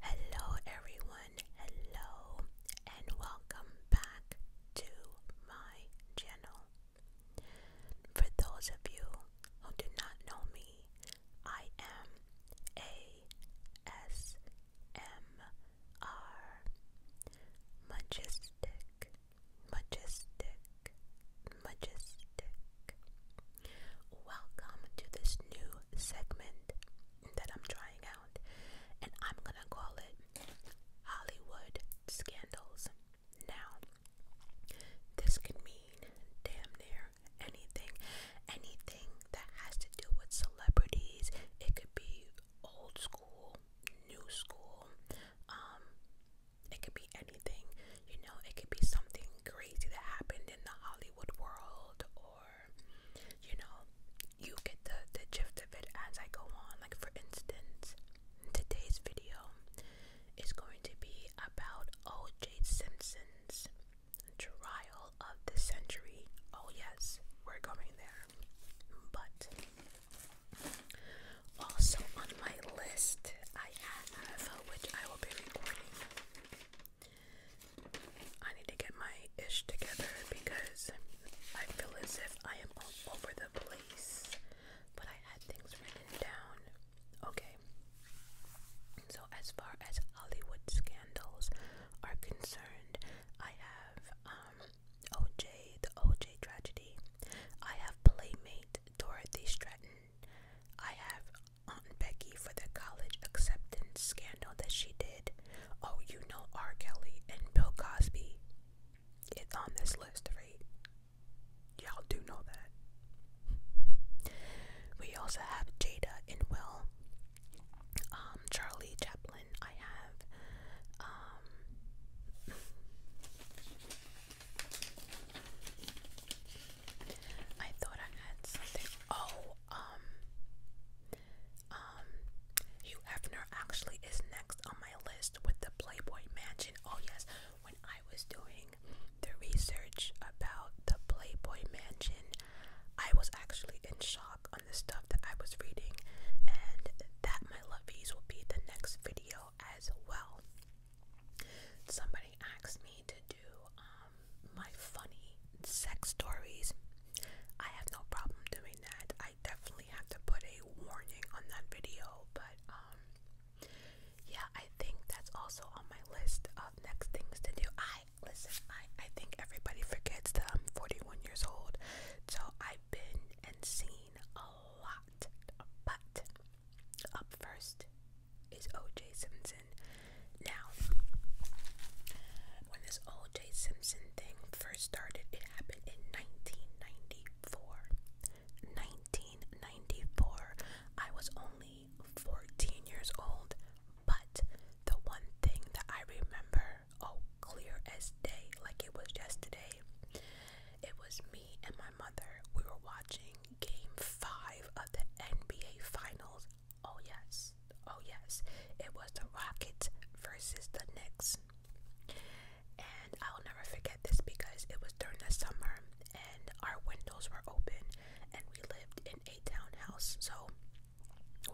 Hello, everyone. Hello, and welcome back to my channel. For those of you who do not know me, I am ASMR Majestic, Majestic, Majestic. Welcome to this new segment that I'm trying out, and I'm gonna call it Hollywood Scandals. Now, this could mean damn near anything, anything that has to do with celebrities. It could be old school, new school, um, it could be anything you know, it could be something crazy that happened in the Hollywood world, or you know, you get the, the gist of it as I go on. Like, for instance, today's video is going to be about OJ Simpson's trial of the century. Oh, yes, we're going there, but also on my list, I have which I will be recording I need to get my ish together because I feel as if I am all over the place. But I had things written down. Okay. So, as far as Hollywood scandals are concerned, I have um, OJ, the OJ tragedy. I have Playmate Dorothy Stratton. I have Aunt Becky for the college acceptance scandal that she did. Oh, you know R. Kelly and Bill Cosby. It's on this list, right? Y'all do know that. We also have Jada and Will, um, Charlie Chaplin. I have, um, I thought I had something. Oh, um, um, Hugh Hefner actually is next on my list with the Playboy Mansion. Oh yes, when I was doing the research about the Playboy Mansion, I was actually in shock on the stuff that I was reading, and that my lovies will be the next video as well. Somebody asked me to do um, my funny sex stories. I have no problem doing that. I definitely have to put a warning on that video, but um yeah, I think that's also on my list of next things to do. I listen, I I think everybody forgets that I'm 41 years old. So I've been and seen a lot. But up first is O.J. Simpson. Now, when this O.J. Simpson thing first started, it happened in 1994. 1994. I was only 14 years old, but the one thing that I remember, oh, clear as day, like it was yesterday, it was me and my mother. We were watching Game 5 the NBA Finals. Oh, yes. Oh, yes. It was the Rockets versus the Knicks. And I'll never forget this because it was during the summer and our windows were open and we lived in a townhouse. So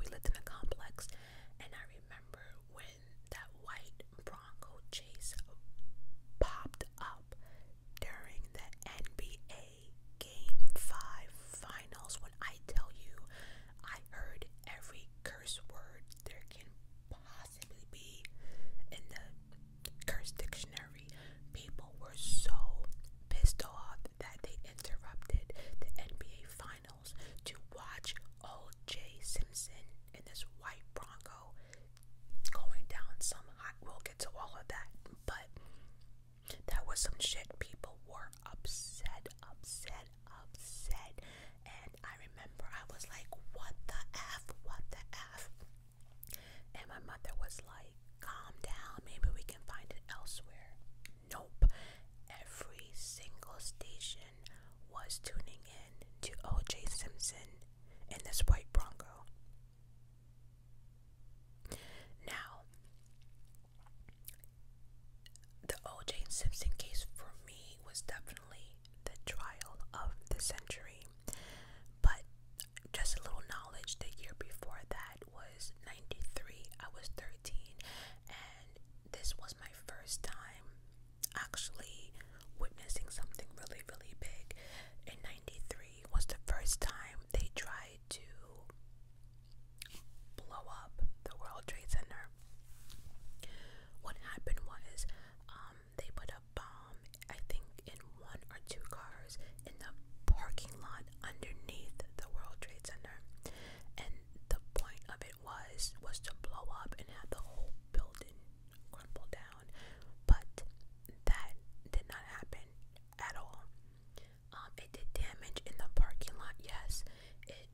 we lived in a complex. And I remember when that white Bronco chase popped up during the NBA Game 5 Finals. When I tell you, I heard every curse word there can possibly be in the curse dictionary. People were so pissed off that they interrupted the NBA Finals to watch O.J. Simpson in this white Bronco going down some We'll get to all of that, but that was some shit people were upset, upset, upset. And I remember I was like, what the F? What the F? And my mother was like, calm down, maybe we can find it elsewhere. Nope. Every single station was tuning in to OJ Simpson in this white Bronco. Now, the O.J. Simpson case for me was definitely the trial of the century, but just a little knowledge the year before that was 93, I was 13, and this was my first time actually witnessing something really, really big. In 93 was the first time they tried to blow up the World Trade Center. What happened was um, they put a bomb, I think, in one or two cars in the parking lot underneath the World Trade Center, and the point of it was was to blow up and have the whole building crumble down. But that did not happen at all. Um, it did damage in the parking lot, yes. It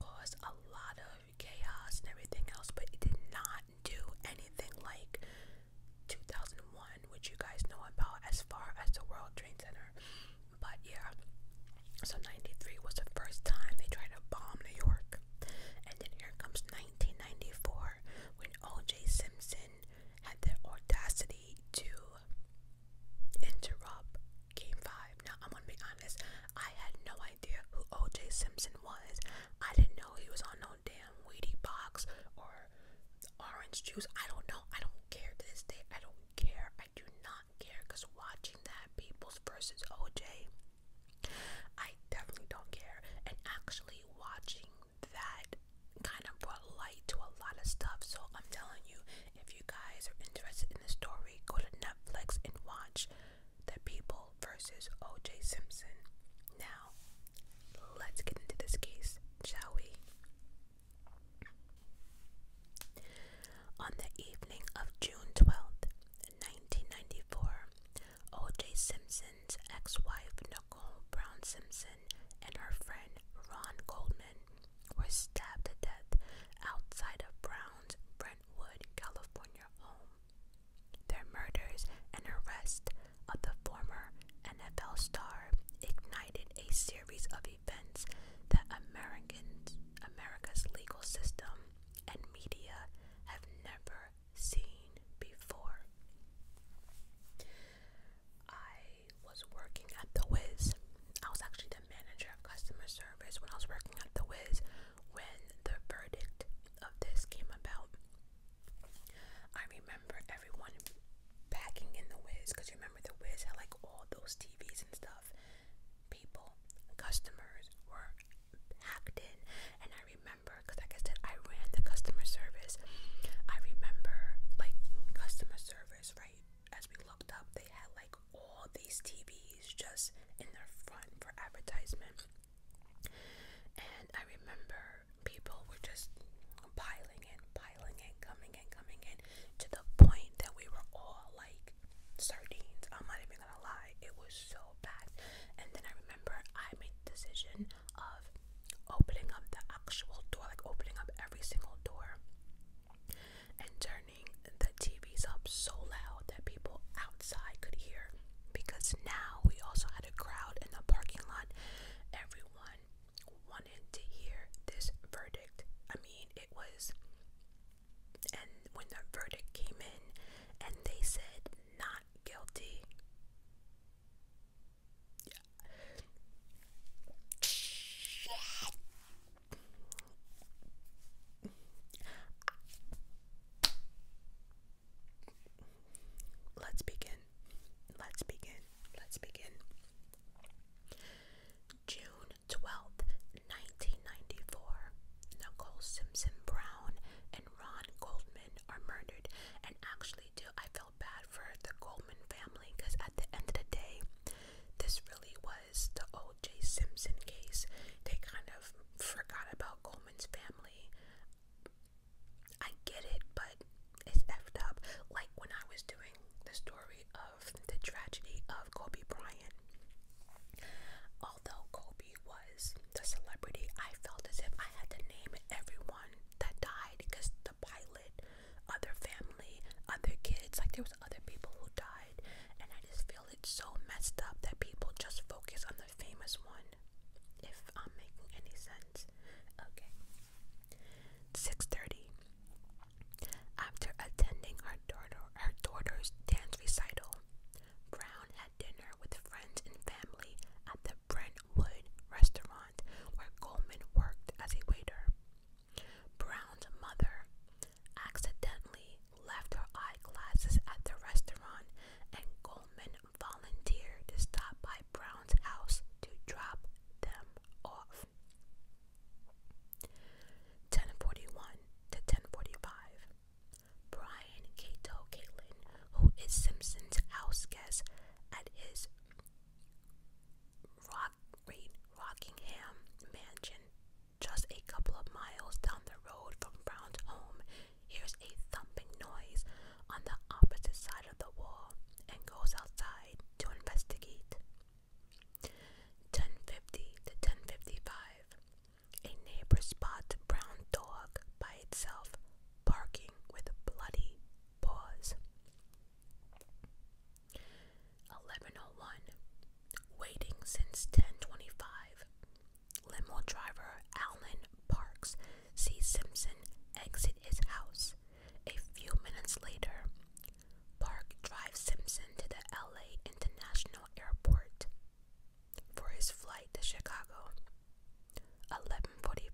caused a lot of chaos and everything else, but it did not do anything like 2001, which you guys know about as far as the World Trade Center. But yeah, so 93 was the first time they tried to bomb New York. And then here comes 1994 when O.J. Simpson had the audacity to interrupt Game 5. Now, I'm going to be honest, I had no idea who O.J. Simpson was. I didn't know he was on no damn weedy box or orange juice. I don't know. I don't care to this day. I don't care. I do not care because watching that Peoples versus O.J., I definitely don't care. And actually watching that kind of brought light to a lot of stuff. So I'm telling you, if you guys are interested in the story, go to Netflix and watch The People versus O.J. Simpson. Now, let's get into this case, shall we? On the evening of June 12th, 1994, O.J. Simpson's ex wife, Nicole Brown Simpson, and her friend Ron Goldman were stabbed to death outside of Brown's Brentwood, California home. Their murders and arrest of the former NFL star ignited a series of events that Americans, America's legal system and media have never seen before. I was working at the Wiz. I was actually the manager of customer service when I was working at the Wiz when the verdict of this came about. I remember everyone packing in the Wiz because remember the Wiz had like all those TVs and stuff. People, customers were packed in, and I remember because, like I said, I I the customer service. I remember like customer service, right? As we looked up, they had like all these TVs just in their front for advertisement. And I remember people were just piling in, piling in, coming in, coming in, to the point that we were all like sardines. I'm not even gonna lie, it was so bad. And then I remember I made the decision of opening up the actual door, like opening up every single door, and turning the TVs up so loud that people outside could hear. Because now we also had a crowd in the parking lot. Everyone wanted to hear this verdict. I mean, it was. And when the verdict came in and they said not guilty, Let's begin. Let's begin. Let's begin. June 12th, 1994. Nicole Simpson Brown and Ron Goldman are murdered. And actually, do I feel bad for the Goldman family because at the end of the day, this really was the O.J. Simpson case. They kind of forgot about Goldman's family. I get it, but it's effed up. Like when I was doing the story of the tragedy of Kobe Bryant. Although Kobe was the celebrity, I felt as if I had to name everyone that died because the pilot other family, other kids. Like there was other people who died, and I just feel it's so messed up that people just focus on the famous one. If I'm making any sense, okay. Six thirty. After attending her daughter, her daughter's dance recital, Brown had dinner with friends and family at the Brentwood restaurant where Goldman worked as a waiter. Brown's mother accidentally left her eyeglasses at the restaurant, and Goldman volunteered to stop by Brown's house to drop them off. 1041 to 1045. Brian Cato Caitlin, who is Simpson's house guest at his Rockingham Mansion, just a couple of miles down the road from Brown's home, hears a thumping noise on the opposite side of the wall and goes outside to investigate. 1050 to 1055. A neighbor spots a brown dog by itself barking with bloody Pause. 1101. Waiting since 1025. Limo driver Alan Parks sees Simpson exit his house. A few minutes later, Park drives Simpson to the LA International Airport for his flight to Chicago. 11:45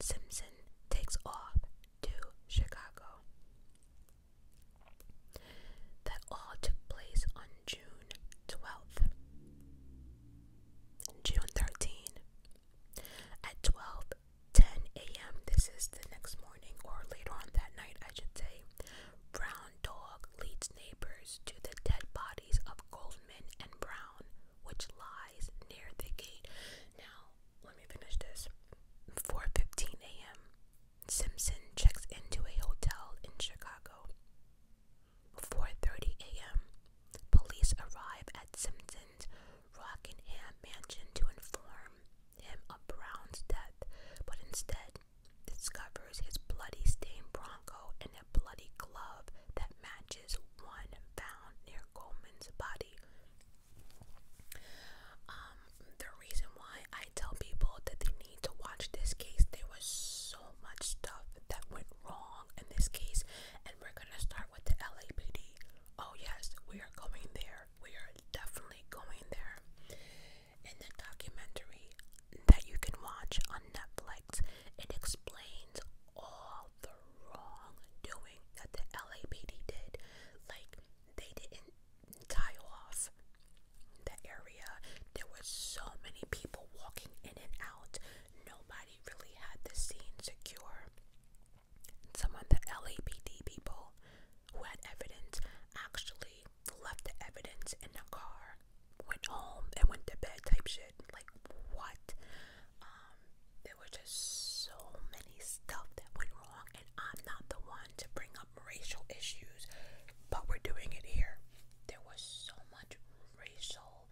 Simpson takes off to Chicago. That all took place on June 12th. June 13th at 12:10 a.m. This is the next morning or later on that night, I should say. Brown Dog leads neighbors to the dead bodies of Goldman and Brown, which lies near the gate. Now, let me finish this. 4:15 a.m. Simpson checks into a hotel in Chicago. 4:30 a.m. Police arrive at Simpson's Rockingham mansion to inform him of Brown's death, but instead discovers his bloody stained Bronco and a bloody glove that matches one found near Coleman's body. Um, the reason why I tell people that they need to watch this case, there was so much stuff that went wrong in this case, and we're gonna start with the LAPD. Oh, yes, we are going there. We are definitely going there. In the documentary that you can watch on Netflix, it explains all the the wrongdoing that the LAPD did. Like, they didn't tie off the area. There were so many people walking in and out. Nobody really had the scene secure. Some of the LAPD people who had evidence actually left the evidence in the car, went home, and went to bed type shit. Like, what? Um, there were just so many stuff that went wrong, and I'm not the one to bring up racial issues, but we're doing it here. There was so much racial.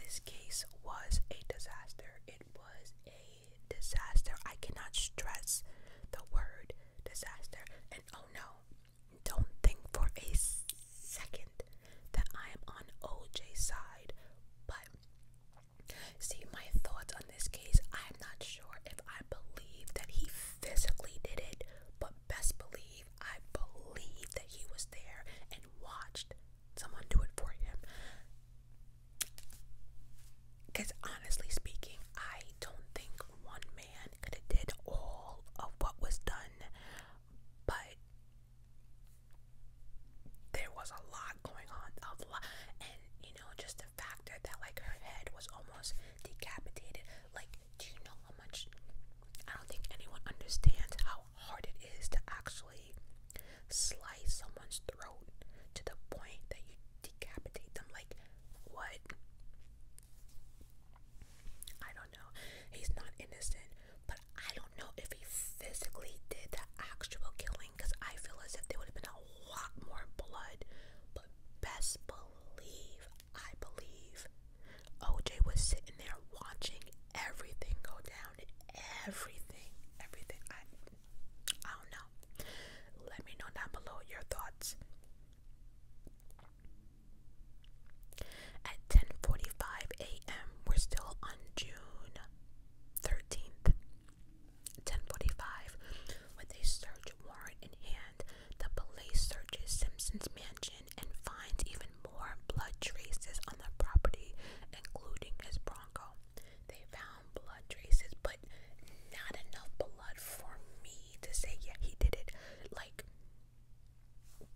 This case was a disaster. It was a disaster. I cannot stress the word disaster. And oh no, don't think for a second that I am on OJ's side, but see my thoughts on this case. I'm not sure if I believe that he physically did it, but best believe I believe that he was there and watched someone do it for him. Because honestly speaking, I don't think one man could have did all of what was done but there was a lot going on, a lot, and you know, just the factor that like her head was almost decapitated. Like, do you know how much? I don't think anyone understands how hard it is to actually slice someone's throat to the point that you decapitate them. Like, what? I don't know. He's not innocent, but I don't know if he physically did the actual killing because I feel as if there would have been a lot more blood. But best believe, I believe OJ was sitting there watching everything go down. Everything, everything. I, I don't know. Let me know down below your thoughts. At 10:45 a.m., we're still on June 13th. 10:45, with a search warrant in hand, the police searches Simpson's mansion and finds even more blood traces on the property, including his Bronco. They found blood traces, but not enough blood for me to say yeah he did it. Like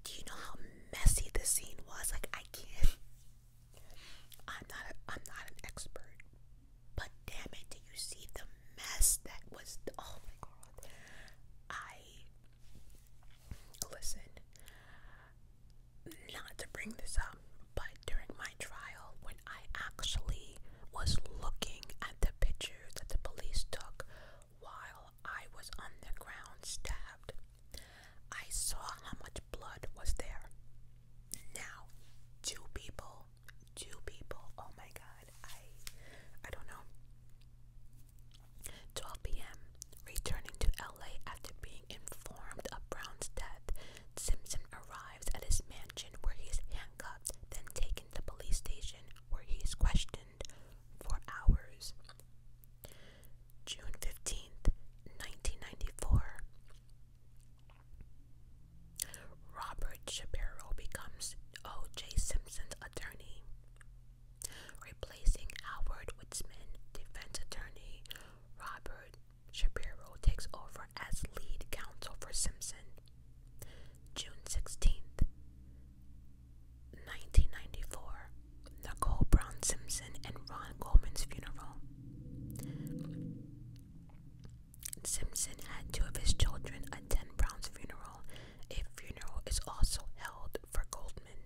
do you know how messy the scene was? Like I can't. I'm not. A, I'm not an expert, but damn it, did you see the mess that was? oh my god! I listen. Not to bring this up, but during my trial, when I actually was looking at the pictures that the police took while I was on the ground stabbed. I saw how much blood was there. Now, two people, two people. Oh my God, I, I don't know. 12 p.m. Returning to LA after being informed of Brown's death, Simpson arrives at his mansion where he's handcuffed, then taken to police station where he's questioned for hours. June 15th, 1994. Robert Shapiro becomes O.J. Simpson's attorney, replacing Howard Witzman, defense attorney. Robert Shapiro takes over as lead counsel for Simpson. June 16th, 1994 Nicole Brown Simpson and Ron Goldman's funeral. Simpson had two of his children attend Brown's funeral. A funeral is also held for Goldman.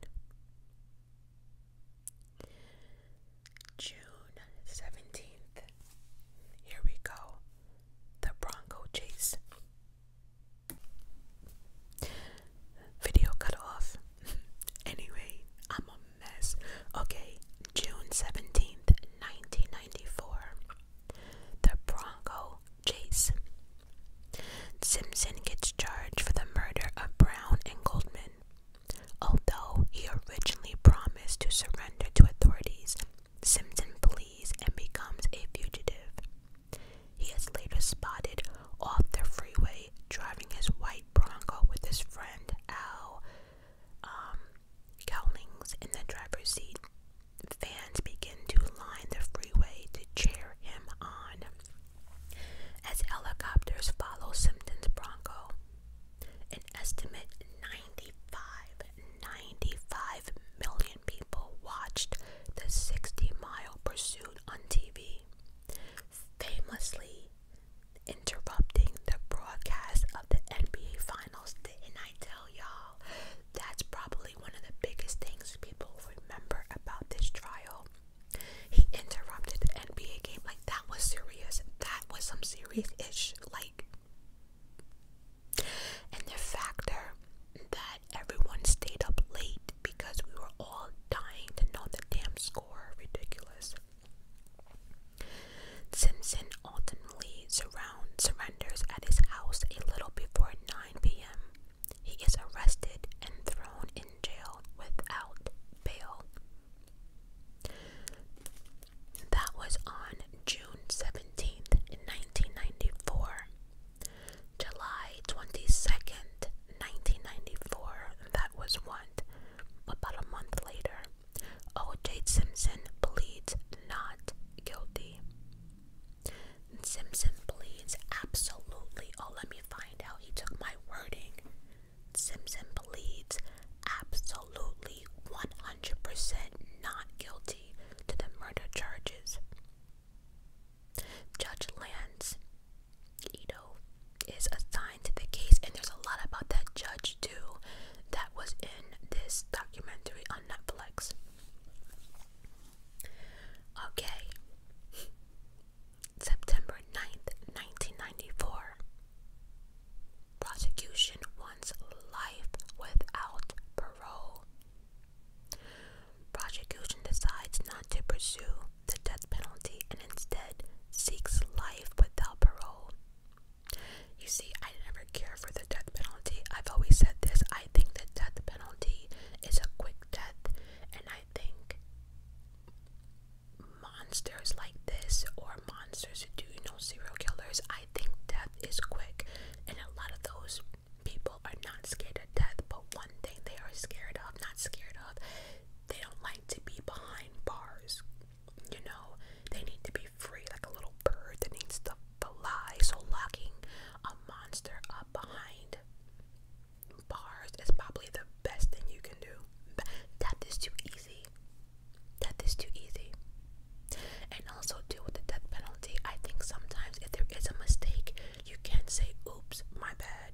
June 17th. Here we go. The Bronco Chase. Video cut off. anyway, I'm a mess. Okay, June 17th, 1994. The Bronco Chase. Simpson gets charged for the murder of Brown and Goldman. Although he originally promised to surrender to authorities, Simpson flees and becomes a fugitive. He is later spotted off the freeway driving his white Bronco with his friend Al um, Cowlings in the driver's seat. Fans begin to line the freeway to cheer him on as helicopters follow Simpson's Bronco. An estimate 95, 95 million people watched the 60 mile pursuit on TV, famously interrupting the broadcast of the NBA Finals. And I tell y'all, that's probably one of the biggest things people remember about this trial. He interrupted the NBA game. Like, that was serious. That was some serious ish. Like, and the factor that everyone stayed up late because we were all dying to know the damn score. Ridiculous. Simpson ultimately surrenders at his house a little before 9 p.m. He is arrested and thrown in jail without bail. That was on June 17th, 1994. July 22nd, 1994, that was one. About a month later, O.J. Simpson pleads not guilty. Simpson pleads absolutely. Oh, let me find out. He took my wording. Simpson pleads absolutely 100% not guilty to the murder charges. Judge Lance Ito is assigned to the case, and there's a lot about that judge too that was in this documentary on Netflix. Okay, September 9th, 1994. Prosecution wants life without parole. Prosecution decides not to pursue the death penalty and instead seeks life without parole. You see, I never care for the death penalty. I've always said this. I think the death penalty is a quick death, and I think monsters like this or monsters who do you know serial killers, I think death is quick, and a lot of those people are not scared of death, but one thing they are scared of, not scared of, they don't like to be behind bars. You know, they need to be free, like a little bird that needs to fly. So, locking a monster up behind bars is probably the best thing you can do. But death is too easy. Death is too easy. And also, too, with the death penalty, I think sometimes if there is a mistake, you can say, oops, my bad.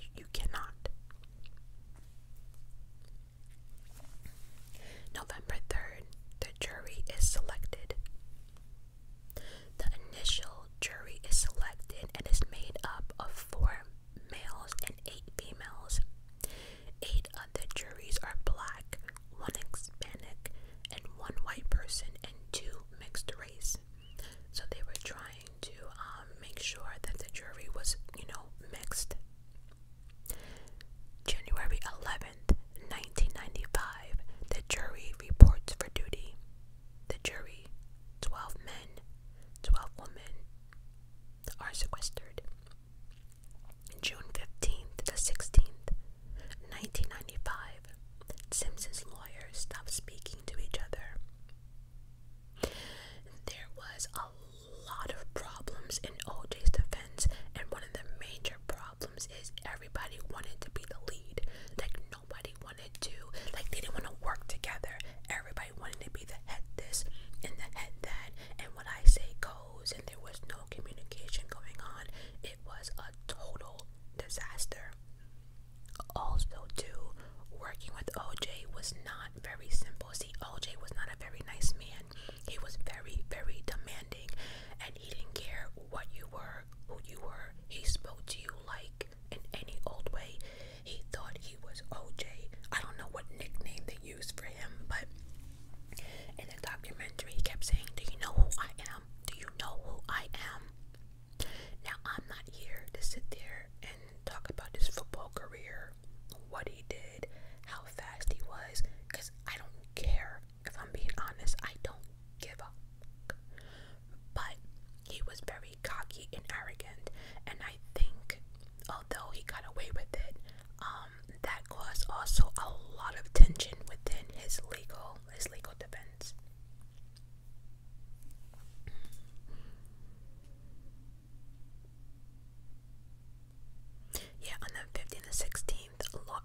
You, you cannot. November 3rd, the jury is selected. The initial jury is selected and is made up of four males and eight females. Eight other juries are black, one Hispanic, and one white person, and two mixed race. So they were trying to um, make sure that the jury was, you know, mixed. January 11th, 1995, the jury reports for duty. The jury, 12 men, 12 women, are sequestered. June 15th to 16th, 1995, Simpson's lawyers stopped speaking to each other. There was a lot of problems in OJ's defense, and one of the major problems is everybody wanted to be the lead. Like, nobody wanted to, like, they didn't want to work together. Everybody wanted to be the head this and the head that, and when I say goes, and there was no communication going on. It was a total disaster. Also, too, working with OJ was not very simple. See, OJ was not a very nice man. He was very, very demanding, and he didn't care what you were, who you were. He spoke to you like in any old way. He thought he was OJ. I don't know what nickname they used for him, but in the documentary, he kept saying, Do you know who I am? Um, do you know who I am? Now, I'm not here to sit there and talk about his football career, what he did, how fast he was, because I don't care. If I'm being honest, I don't give up. But he was very cocky and arrogant, and I think, although he got away with it, um, that caused also a lot of tension within his legal Leslie legal defense. Yeah, on the 15th and 16th, um,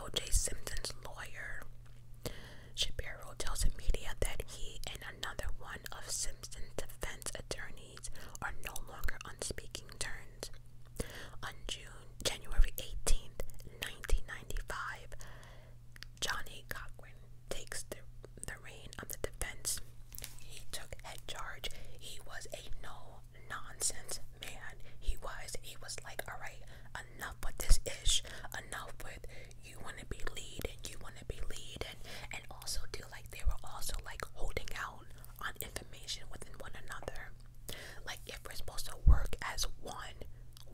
O.J. Simpson's lawyer, Shapiro, tells the media that he and another one of Simpson's defense attorneys are no longer on speaking terms. On June January 18th, 1995, Johnny Cochran takes the, the reign of the defense. He took head charge. He was a no nonsense man. He was. He was like, all right, enough with this ish. Enough with you want to be lead and you want to be lead and and also do like they were also like holding out on information within one another. Like, if we're supposed to work as one,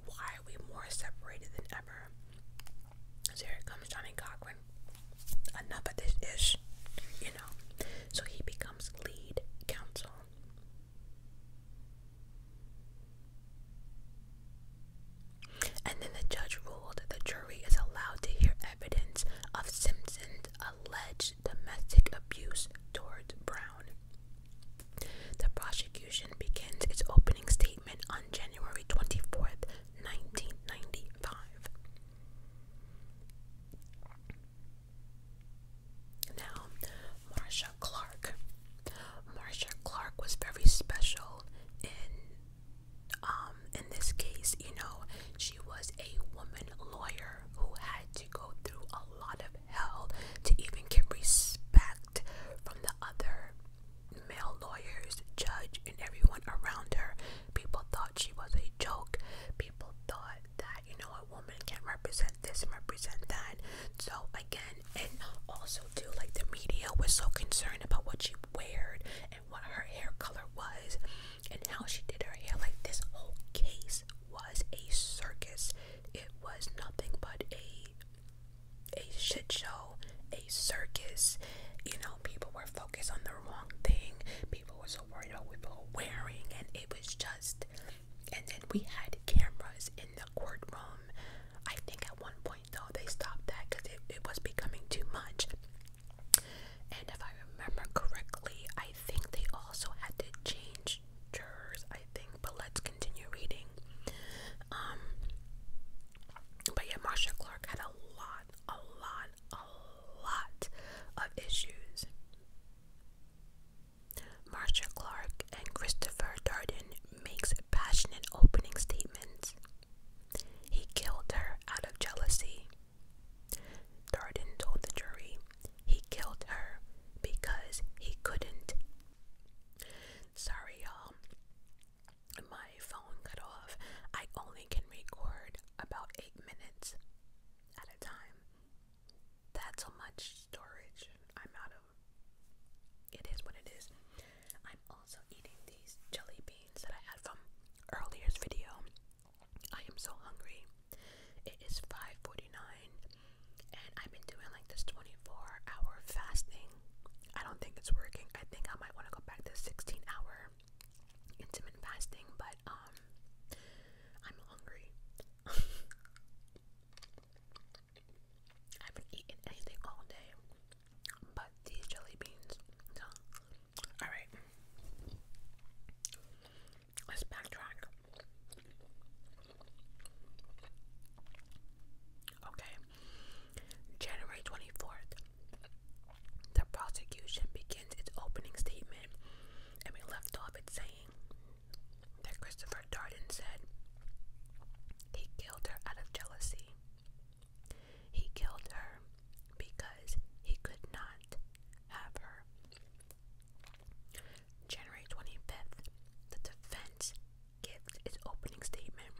why are we more separated than ever? So here comes Johnny Cochran. Enough of this ish, you know. So he becomes lead counsel. And then the judge ruled the jury is allowed to hear evidence of Simpson's alleged domestic abuse towards Brown. The prosecution begins its opening statement on January 24th, 1995. Now, Marsha Clark. Marsha Clark was very special in um in this case, you know, she was a woman lawyer who had to go through a lot of of to even get respect from the other male lawyers, judge, and everyone around her. People thought she was a joke. People thought that, you know, a woman can not represent this represent that. So, again, and also, too, like the media was so concerned about what she wore and what her hair color was and how she did her hair. Like, this whole case was a circus. It was nothing but a a shit show, a circus. You know, people were focused on the wrong thing. People were so worried about what people were wearing, and it was just. And then we had cameras in the courtroom. I think at one point though they stopped that because it, it was becoming too much. And if I remember correctly, I think they also had to change jurors, I think. But let's continue reading. Um, but yeah, Marsha Clark had a lot, a lot, a lot of issues. Marsha Clark and Christopher Darden makes passionate opening statements. He killed her out of jealousy. Darden told the jury he killed her because he couldn't. Sorry, y'all. My phone cut off. I only can record about eight minutes at a time. That's how much storage I'm out of. It is what it is. I'm also eating these jelly beans that I had from earlier's video. I am so hungry. It is 5:49 and I've been doing like this 24-hour fasting. I don't think it's working. I think I might want to go back to 16-hour intermittent fasting, but um I'm hungry. I haven't eaten anything all day but these jelly beans. all right. Let's backtrack. Okay. January 24th. The prosecution begins its opening statement, and we left off it saying that Christopher Darden said he killed her out of jealousy. He killed her because he could not have her. January 25th, the defense gives its opening statement.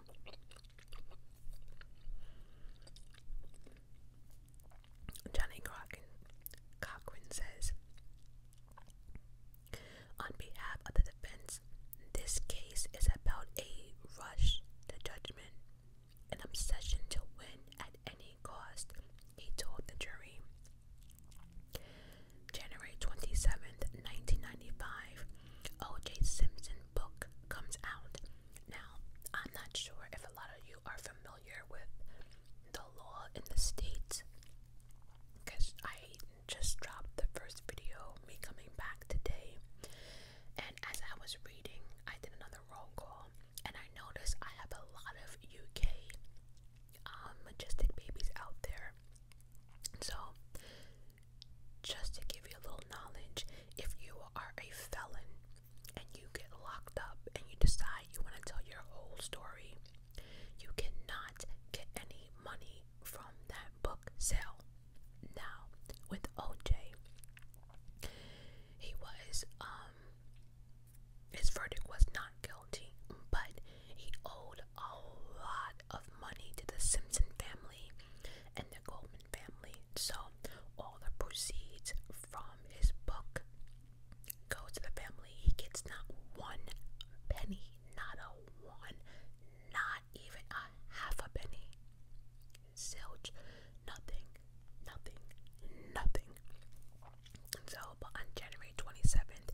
Johnny Cochran, says, on behalf of the defense, this case is about a rush to judgment, an obsession to win at any cost, he told the jury. January twenty seventh, 1995, O.J. Simpson book comes out. Now, I'm not sure if a lot of you are familiar with the law in the states because I just dropped the first video, me coming back today. And as I was reading, I did another roll call and I noticed I have a lot of UK um, majestic babies out there. So, just to give you a little knowledge, if you are a felon and you get locked up and you decide you want to tell your whole story, you cannot get any money from that book sale. Now, with OJ, he was um his verdict was not guilty, but he owed a lot of money to the Simpson family and the Goldman family. So all the proceeds from his book go to the family. He gets not one penny, not a one, not even a half a penny. Zilch, nothing, nothing, nothing. So, on January 27th,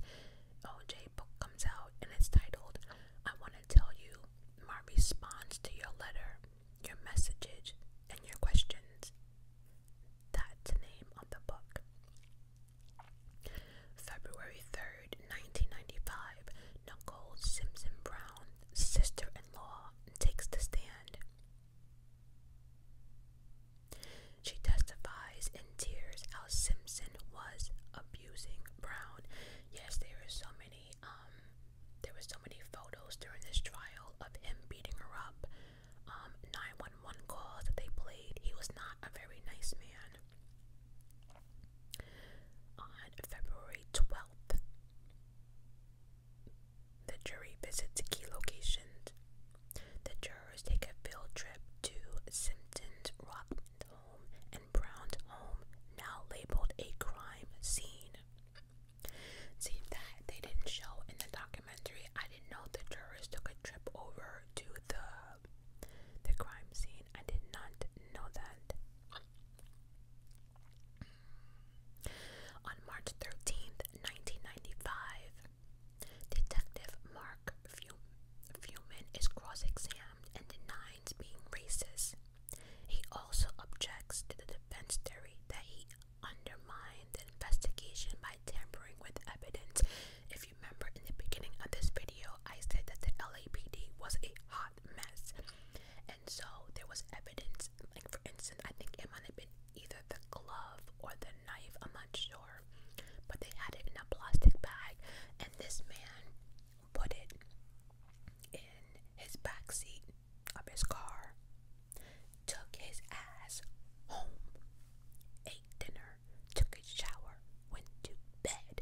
OJ book comes out and it's titled, I Want to Tell You My Response to Your Letter, Your Messages, and Your Questions. That's the name of the book. February 3rd, 1995, Nicole Simpson Brown, sister in law, takes the stand. She testifies in tears how Simpson was abusing Brown. Yes, there is so many um, there were so many photos during this trial of him beating her up. Um, 911 calls that they played. He was not a very nice man. On February 12th, the jury visits key locations the jurors take a field trip to Simpson's Rockland home and Brown's home, now labeled a crime scene. See that they didn't show in the documentary. I didn't know the jurors took a trip over to the the crime scene. I did not know that. On March 13th, 1995, Detective Mark Fiuman is cross examined and denies being racist. He also objects to the defense theory that he undermined the investigation by tampering with evidence. If you remember in the beginning of this video, I said that the LAPD was a hot mess. And so there was evidence, like for instance, I think it might have been either the glove or the knife, I'm not sure. But they had it in a plastic bag, and this man put it in his back seat of his car, took his ass home, ate dinner, took a shower, went to bed,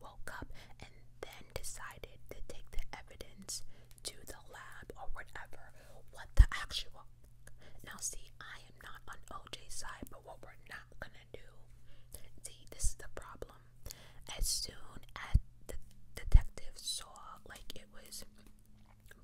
woke up, and then decided to take the evidence to the lab or whatever. What the actual now, see, I am not on OJ's side, but what we're not gonna do, see, this is the problem. As soon as the detective saw, like, it was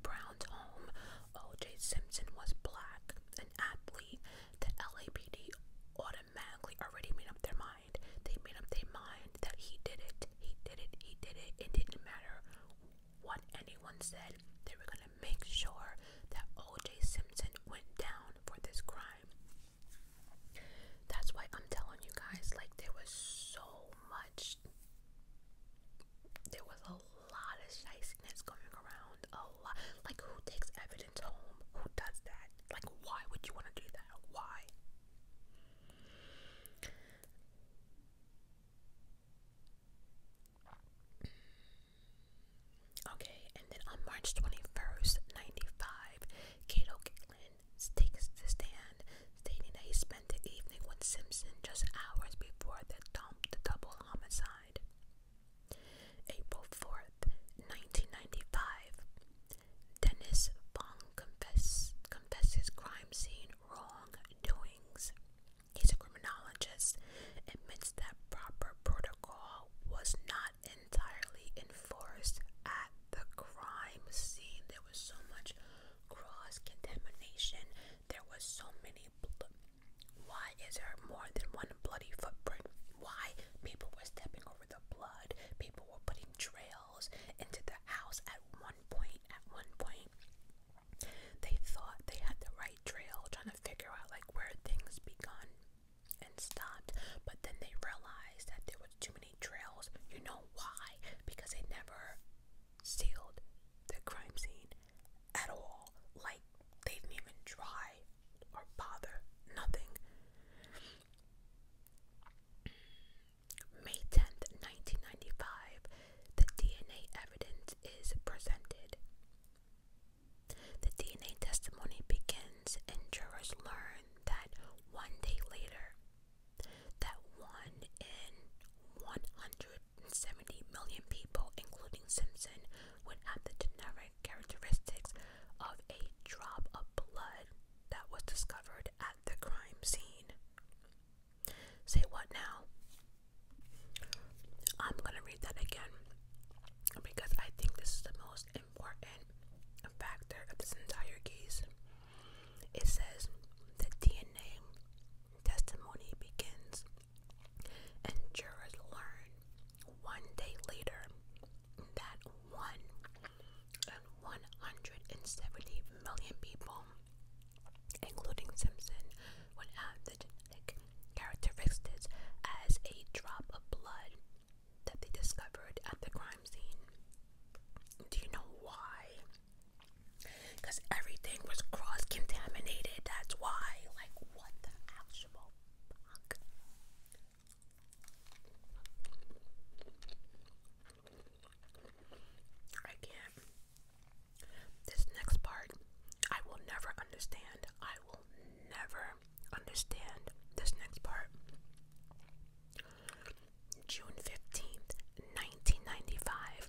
Brown's home, OJ Simpson was black, an athlete, the LAPD automatically already made up their mind. They made up their mind that he did it, he did it, he did it. It didn't matter what anyone said, they were going to make sure that O.J. Simpson went down for this crime. That's why I'm telling you guys, like, there was so much, there was a lot of shiciness going around. A lot. Like, who takes evidence home? Who does that? Like, why would you want to do that? Why? Okay, and then on March 21st, 95, Cato Kicklin takes the stand, stating that he spent the evening with Simpson just hours before the, double homicide. April 4th, 1995, Dennis Fong confess, confesses crime scene wrongdoings. He's a criminologist, admits that proper protocol was not entirely enforced at the crime scene. There was so much cross contamination. There was so many. Why is there more than one bloody footprint? Why people were stepping over the blood? People were putting trails into the house at one point. At one point, they thought they had the right trail, trying to figure out like where things begun and stopped, but then they realized that there was too many trails. You know why? Because they never sealed the crime scene at all. Like they didn't even try or bother. Nothing. May 10th, 1995, the DNA evidence is presented. The DNA testimony begins, and jurors learn that one day later, that one in 170 million people, including Simpson, would have the generic characteristics of a drop of blood that was discovered at the crime scene. Say what now? I'm gonna read that again because I think this is the most important factor of this entire case. It says the DNA testimony begins, and jurors learn one day later that one and 170 million people including Simpson, when the characteristics as a drop of blood that they discovered at the crime scene. Do you know why? Because everything was cross contaminated, that's why. Like, what the actual fuck? I can't. This next part, I will never understand. I will never understand this next part. June 15th, 1995,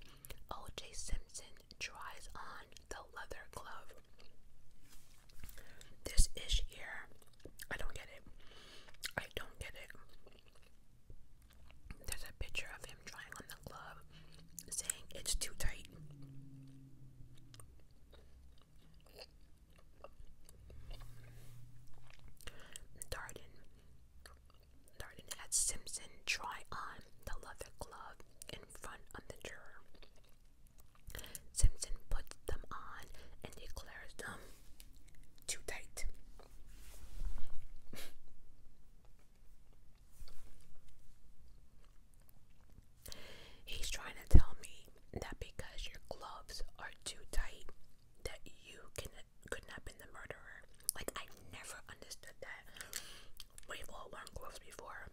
O.J. Simpson tries on the leather glove. This is here, I don't get it. I don't get it. There's a picture of him trying on the glove saying it's too tight. Darden Darden had Simpson try on the leather glove in front of the juror. Simpson puts them on and declares them too tight. He's trying to tell me that because your gloves are too tight that you could not have been the murderer. Like I have never understood that. We've all worn gloves before.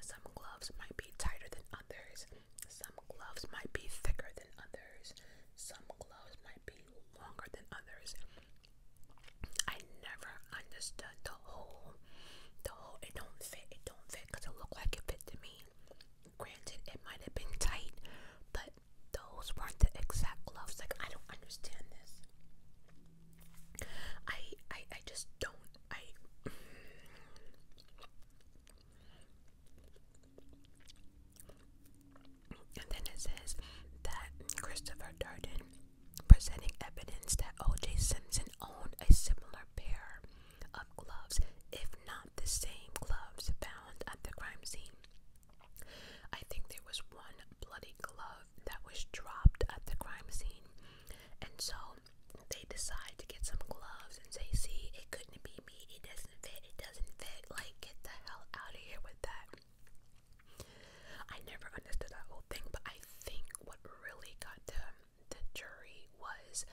Some gloves might be tighter than others. Some gloves might be thicker than others. Some gloves might be longer than others. I never understood the whole, the whole, it don't fit, it don't fit, because it looked like it fit to me. Granted, it might have been tight, but those weren't the exact gloves. Like, I don't understand this. I, I, I just don't, I... and then it says that Christopher Darden presenting evidence that O.J. Simpson owned a similar pair of gloves, if not the same gloves found at the crime scene. I think there was one bloody glove that was dropped at the crime scene, and so they decide to get some gloves and say, See, it couldn't be me, it doesn't fit, it doesn't fit. Like, get the hell out of here with that. I never understood that whole thing, but I think what really got to the jury was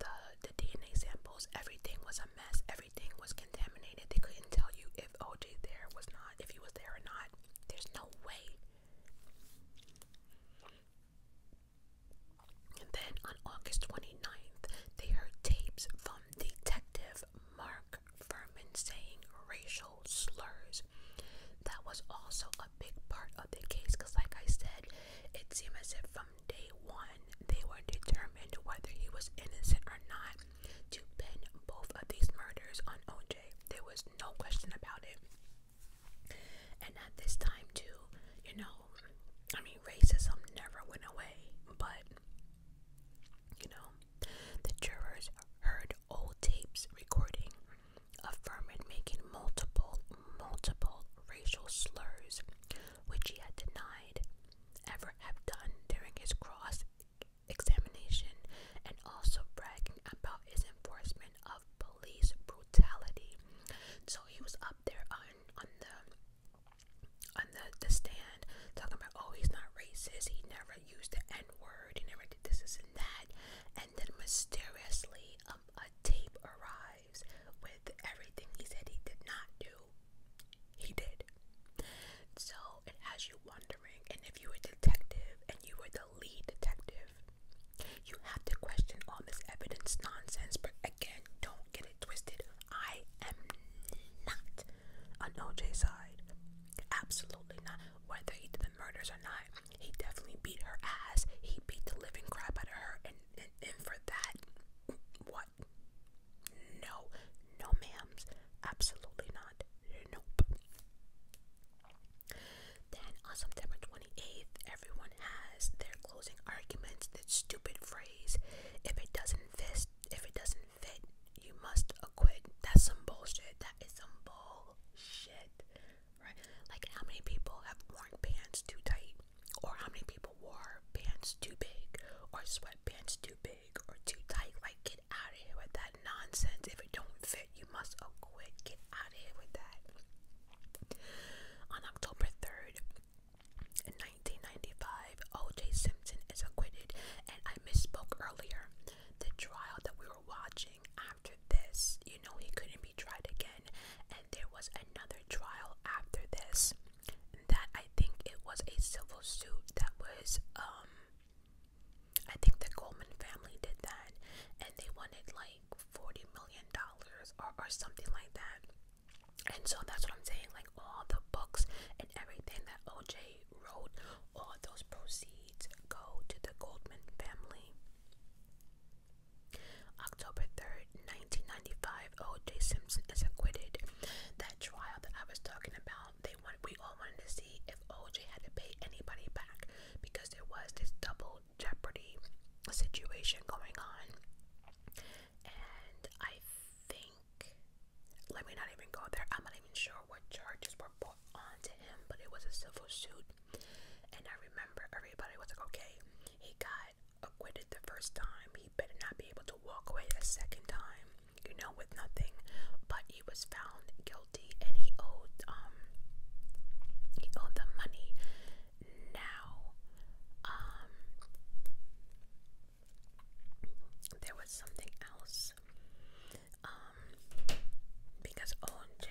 the the DNA samples. Everything was a mess. Everything was contaminated. They couldn't tell you if OJ there was not, if he was there or not. There's no way. And then on August 29th, they heard tapes from Detective Mark Mark Furman saying racial slurs. That was also a big part of the case because, like I said, it seemed as if from day one they were determined whether he was innocent or not to pin both of these murders on OJ. There was no question about it. And at this time, too, you know, I mean, racism never went away, but you know, the jurors heard old tapes recording of making multiple, multiple racial slurs, which he had denied ever have done during his cross examination, and also bragging about his enforcement of police brutality. So he was up there on on the on the stand talking about oh he's not racist, he never used the N word, he never this, and that. And then mysteriously, um, a tape arrives with everything he said he did not do. He did. So it has you wondering, and if you were a detective and you were the lead detective, you have to question all this evidence nonsense. But again, don't get it twisted. I am not on OJ's side. Absolutely not. Whether he did the murders or not, he definitely beat her ass. He beat the living crap out of her, and and, for that, what? No, no, ma'ams. Absolutely not. Nope. Then on September 28th, everyone has their closing arguments. That stupid phrase, if it doesn't fit, if it doesn't fit, you must acquit. That's some bullshit. That is some bullshit. Right? Like, how many people have worn pants too tight? Or how many people wore pants too big? Or sweatpants too big? Or too tight? Like, get out of here with that nonsense. If it don't fit, you must acquit. Get out of here with that. On October 3rd, in 1995, O.J. Simpson is acquitted, and I misspoke earlier the trial that we were watching after this, you know, he couldn't be tried again, and there was another trial after this that I think it was a civil suit that was, um, I think the Goldman family did that, and they wanted like $40 million or, or something like that. And so that's what I'm saying, like all the books and everything that OJ Floyd All those proceeds go to the Goldman family. October 3rd, 1995, O.J. Simpson is acquitted. That trial that I was talking about, they want, we all wanted to see if O.J. had to pay anybody back because there was this double jeopardy situation going on. And I think let me not even go there. I'm not even sure what charges were put onto him, but it was a civil suit. And I remember everybody was like, okay, he got acquitted the first time. He better not be able to walk away a second time, you know, with nothing. But he was found guilty and he owed um he owed the money. Now um there was something else um, because OJ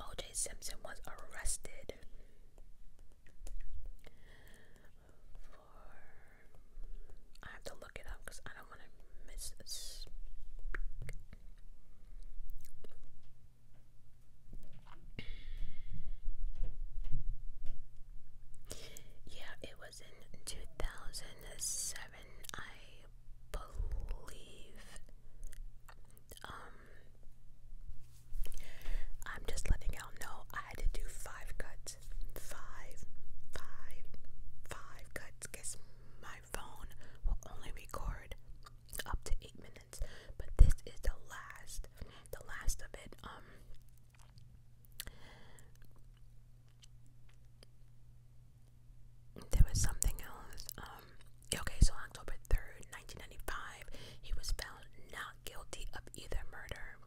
OJ Simpson was arrested for I have to look it up because I don't want to miss Yeah, it was in 2000 seven, I believe. Um, I'm just letting y'all know I had to do five cuts. Five, five, five cuts because my phone will only record up to eight minutes. But this is the last, the last of it. Um, there was something else. Um, okay, so on October 3rd, 1995, he was found not guilty of either murder.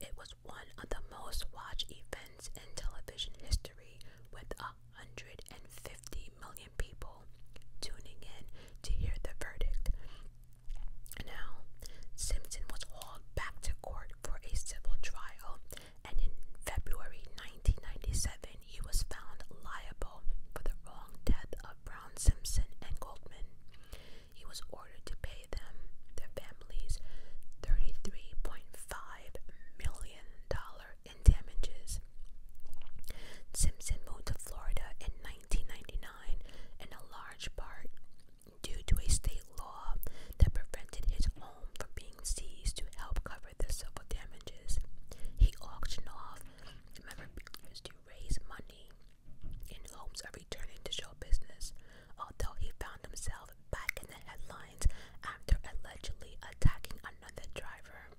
It was one of the most watched events in television history with 150 million people tuning in to hear the verdict. Now, Simpson was hauled back to court for a civil trial, and in February 1997, he was found liable for the wrong death of Brown Simpson and Goldman. He was ordered to pay them, their families, $33.5 million in damages. Simpson moved to Florida in 1999, and a large part due to a state law that prevented his home from being seized to help cover the civil damages. He auctioned off memberships to raise money in hopes of returning to show business, although he found himself back in the headlines after allegedly attacking another driver.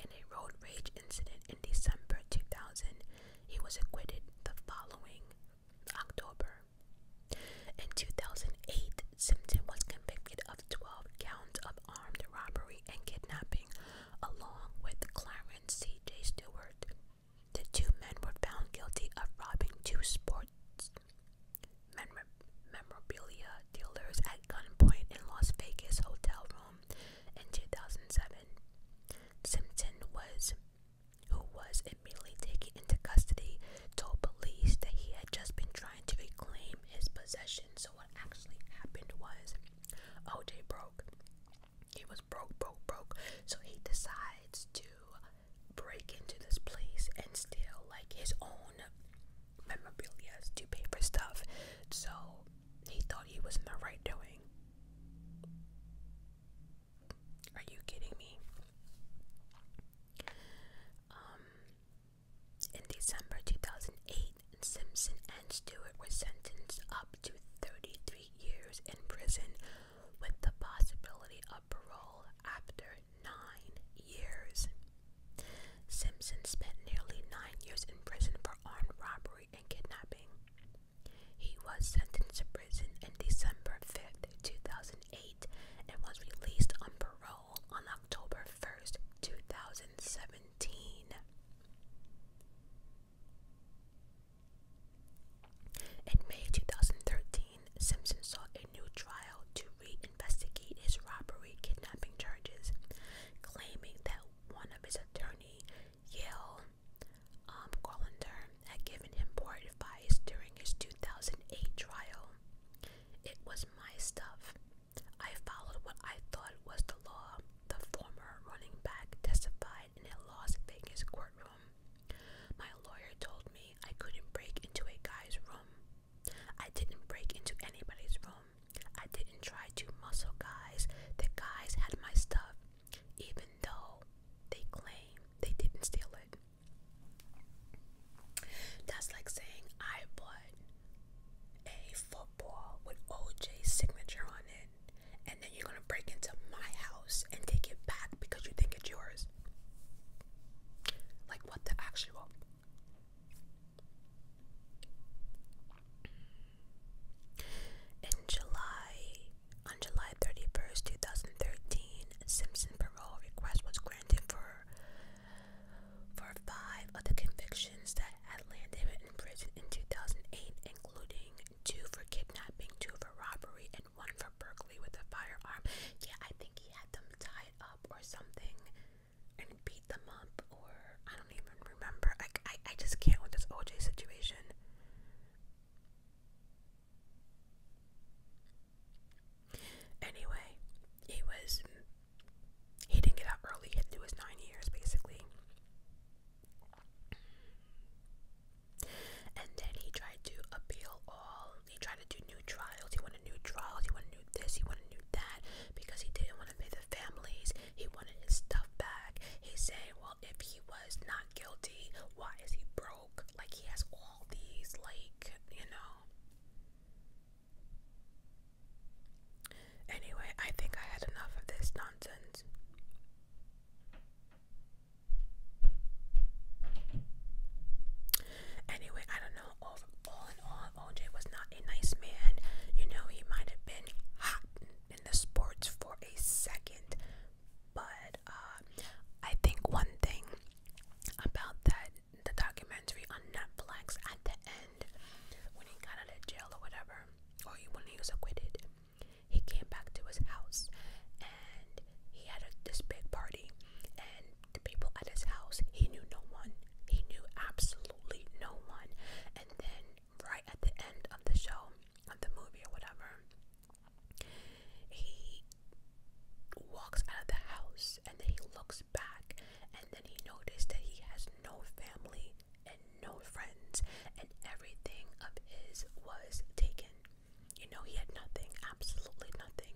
In a road rage incident in December 2000, he was acquitted the following October. In 2008, Simpson was convicted of 12 counts of armed robbery and kidnapping, along with Clarence C.J. Stewart. The two men were found guilty of robbing two sports memorabilia dealers at gunpoint in Las Vegas hotel room in 2007. Simpson was who was immediately taken into custody, told police that he had just been trying to reclaim his possession. So, what actually happened was OJ broke. He was broke, broke, broke. So, he decides to break into this place and steal like his own memorabilia to pay for stuff. So, he thought he was in the right doing. Are you kidding me? Um, in December 2008, Simpson and Stewart were sentenced up to 33 years in prison with the possibility of parole after nine years. Simpson spent nearly nine years in prison for armed robbery and kidnapping. He was sentenced to prison in December fifth, 2008, 2008 and was released on parole on October 1st, 2017. In May 2013, Simpson sought a new trial to reinvestigate his robbery kidnapping charges, claiming that one of his attorney, Yale um, Colander, had given him poor advice during his 2008 trial. It was my stuff. I followed what I thought was the law, the former running back testified in a Las Vegas courtroom. My lawyer told me I couldn't break into a guy's room. I didn't break into anybody's room. I didn't try to muscle guys. The guys had my stuff, even though they claim they didn't steal it. That's like saying I bought a football with OJ's signature on it, and then you're gonna break into my house and take it back because you think it's yours. Like, what the actual? In July on July 31st, 2013, Simpson parole request was granted for for five of the convictions that had landed him in prison in 2008, including two for kidnapping, two for robbery, and one for Berkeley with a firearm. Yeah, I think he had them tied up or something and beat them up, or I don't even remember. I, I, I just can't with this OJ situation. Anyway, he was. He didn't get out early, he had to do his nine years basically. And then he tried to appeal all. He tried to do new trials. He wanted new trials. He wanted new this. He wanted new that because he didn't want to pay the families. He wanted his stuff back. He said, well, if he was not guilty, why is he broke? Like he has all these, like, you know. Anyway, I think I had enough of this nonsense. Anyway, I don't know. All, in all, OJ was not a nice man. You know, he might have been hot in the sports for a second, but uh, I think one thing about that the documentary on Netflix at the end when he got out of jail or whatever, or when he was acquitted, he came back to his house and he had a, this big party. And the people at his house, he knew no one. He knew absolutely no one. And then, right at the end of the show, of the movie or whatever, he walks out of the house and then he looks back and then he noticed that he has no family and no friends and everything of his was taken. You know, he had nothing, absolutely nothing.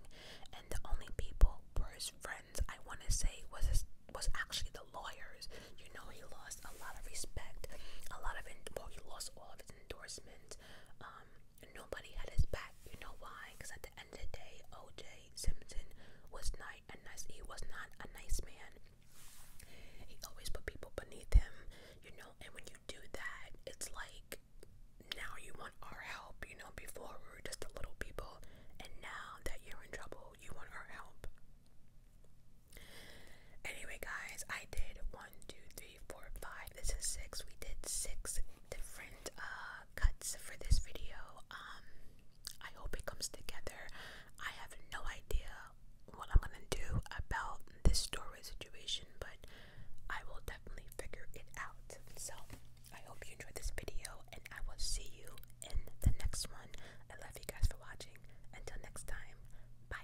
And the only people were his friends, I want to say, was his, was actually the lawyers. You know, he lost a lot of respect, a lot of, well, he lost all of his endorsements. Um, Nobody had his back. You know why? Because at the end of the day, O.J. Simpson was not a nice. He was not a nice man. He always put people beneath him. You know, and when you do that, it's like now you want our help. You know, before we were just the little people, and now that you're in trouble, you want our help. Anyway, guys, I did one, two, three three, four, five. This is six. We did six different uh, cuts for this video. Um, I hope it comes together. I have no idea what I'm gonna do about this doorway situation, but I will definitely figure it out. So I hope you enjoyed this video, and I will see you in the next one. I love you guys for watching. Until next time, bye.